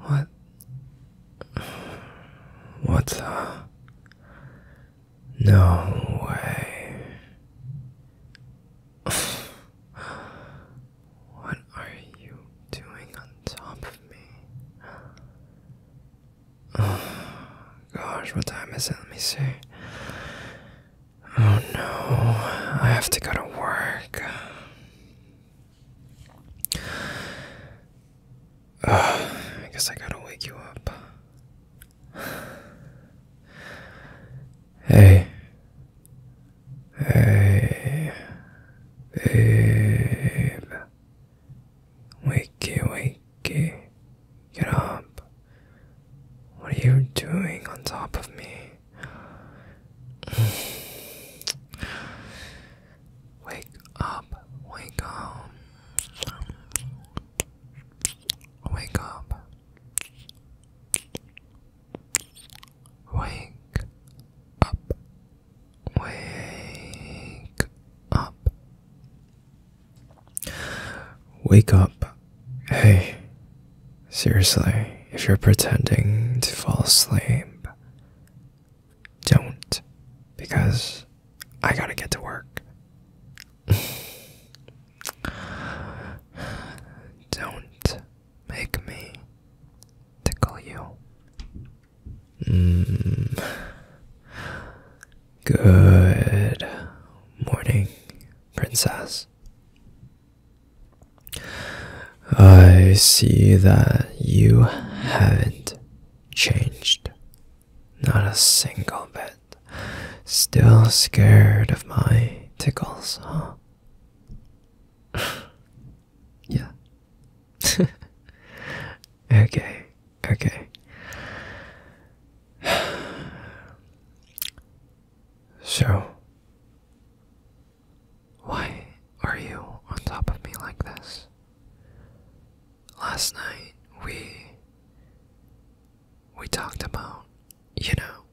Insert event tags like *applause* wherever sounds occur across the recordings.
What? What? Uh, no way. what are you doing on top of me? Oh, gosh, what time is it? Let me see. Oh no, I have to go to work. I guess I gotta wake you up. Hey. Hey. Babe. Wakey, wakey. Get up. What are you doing on top of me? Wake up, wake up. Wake up. Wake up. Wake up. Wake up. Hey, seriously, if you're pretending to fall asleep, don't because I gotta get to work. *laughs* don't make me tickle you. Mm. Good morning, princess. I see that you haven't changed. Not a single bit. Still scared of my tickles, huh? *laughs* yeah. *laughs* okay, okay. *sighs* So, why are you on top of me like this? Last night we we talked about, you know.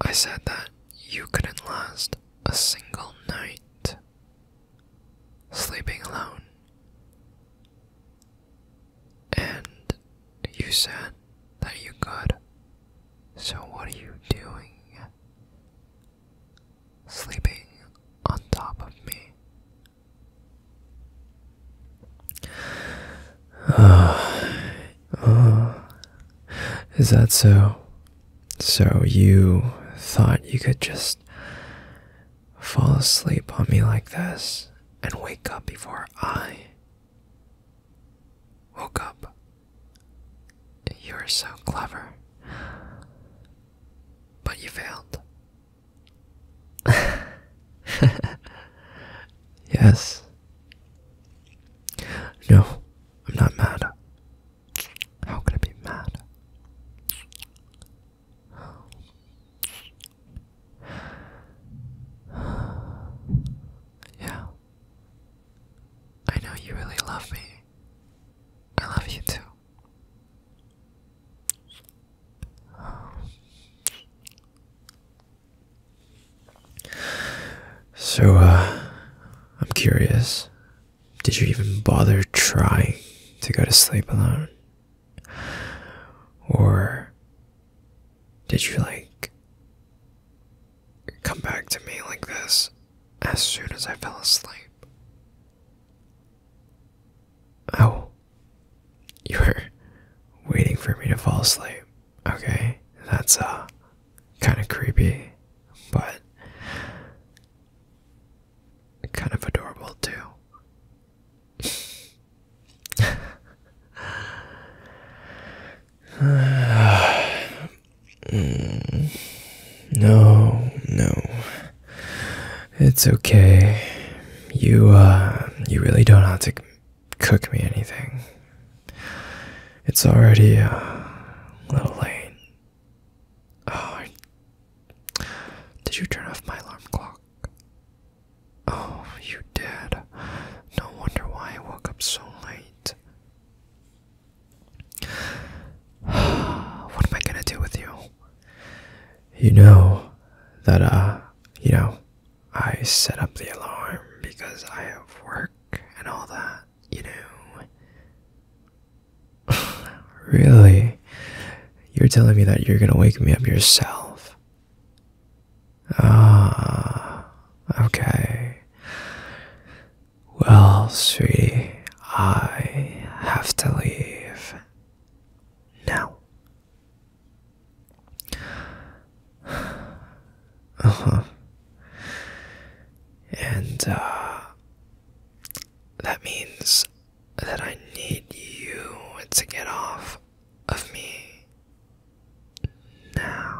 I said that you couldn't last a single night sleeping alone. And you said that you could. So, what are you doing? Sleeping on top of me. Uh, *sighs* uh, is that so? So, you thought you could just fall asleep on me like this and wake up before I Woke up. you were so clever. But you failed. *laughs* yes. No, I'm not mad. How could I be mad? *sighs* yeah. I know you really love me. I love you too. So, uh, I'm curious. Did you even bother trying to go to sleep alone? Or did you like come back to me like this as soon as I fell asleep? Oh, you were waiting for me to fall asleep. Okay, that's uh kind of creepy, but kind of adorable too no, no. It's okay. You, uh, you really don't have to cook me anything. It's already uh, a little late. Oh, did you turn off my alarm clock? Oh, you did. No wonder why I woke up so late. *sighs* what am I gonna do with you? You know that, uh, you know, I set up the alarm because I have work and all that, you know. *sighs* really? You're telling me that you're gonna wake me up yourself. Ah, okay. Well, sweetie, I have to leave now. *sighs* Uh huh. And, that means that I need you to get off of me now.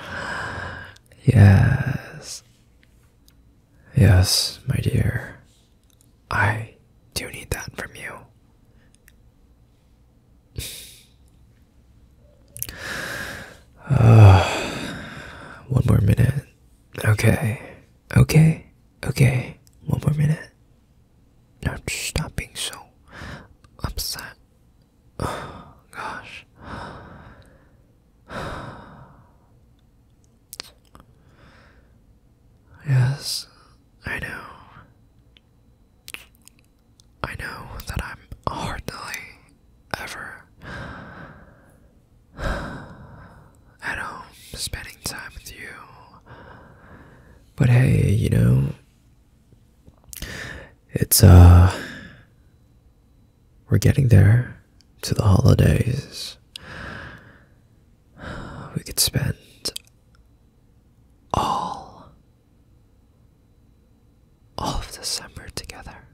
*laughs* yes. Yes, my dear. I do need that from you. *sighs* one more minute. Okay. Okay. Okay. One more minute. stop being so upset. *sighs* gosh. *sighs* Yes, I know. I know that I'm hardly ever at home spending time with you. But hey, you know, it's, uh, we're getting there to the holidays. We could spend all all of December together.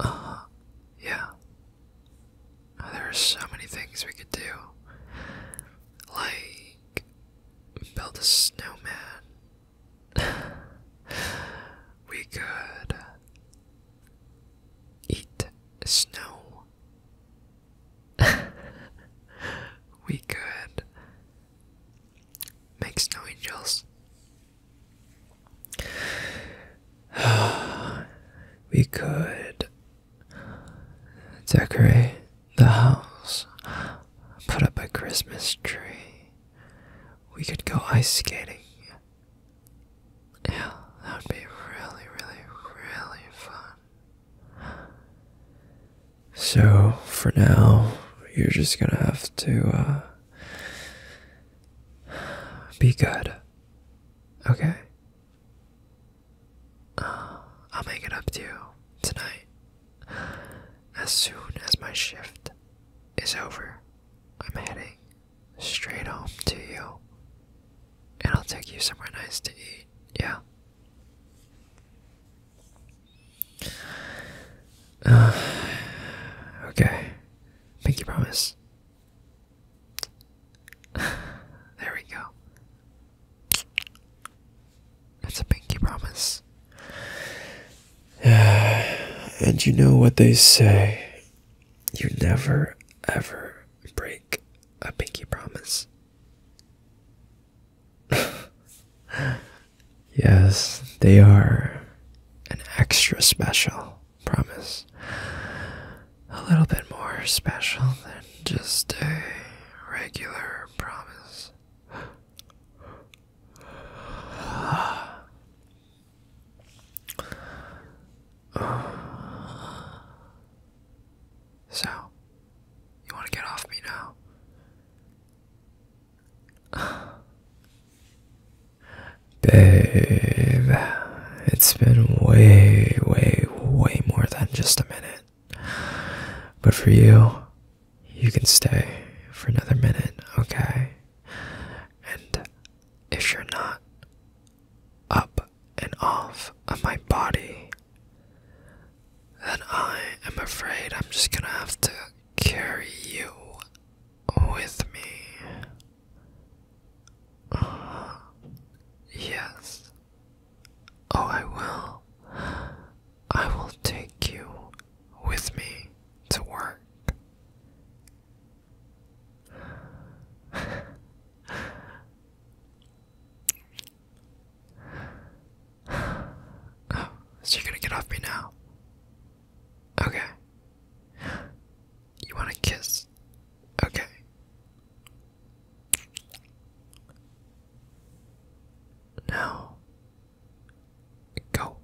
Uh Yeah. Oh, there are so many things we could do. Like, build a snowman. *laughs* we could eat snow. *laughs* we could makes no angels. *sighs* we could decorate the house, put up a Christmas tree. We could go ice skating. Yeah, that would be really, really, really fun. So for now, you're just gonna have to uh, be good. Okay? Uh, I'll make it up to you tonight. As soon as my shift is over, I'm heading straight home to you. And I'll take you somewhere nice to eat, yeah? *sighs* okay. Pinky promise. *sighs* there we go. That's a pinky promise. Yeah, *sighs* and you know what they say. You never ever break a pinky promise. *laughs* yes, they are an extra special promise. A little bit more special than just a regular promise. *sighs* *sighs* So, you want to get off me now? *sighs* Babe, it's been way, way, way more than just a minute. But for you, you can stay for another minute, okay? And if you're not up and off of my body, then I am afraid I'm just gonna have to carry you with me. *sighs* yes. Oh, I will. I will take you with me to work. *sighs* so you're gonna get off me now? Okay. You wanna kiss? Okay. Now, go.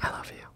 I love you.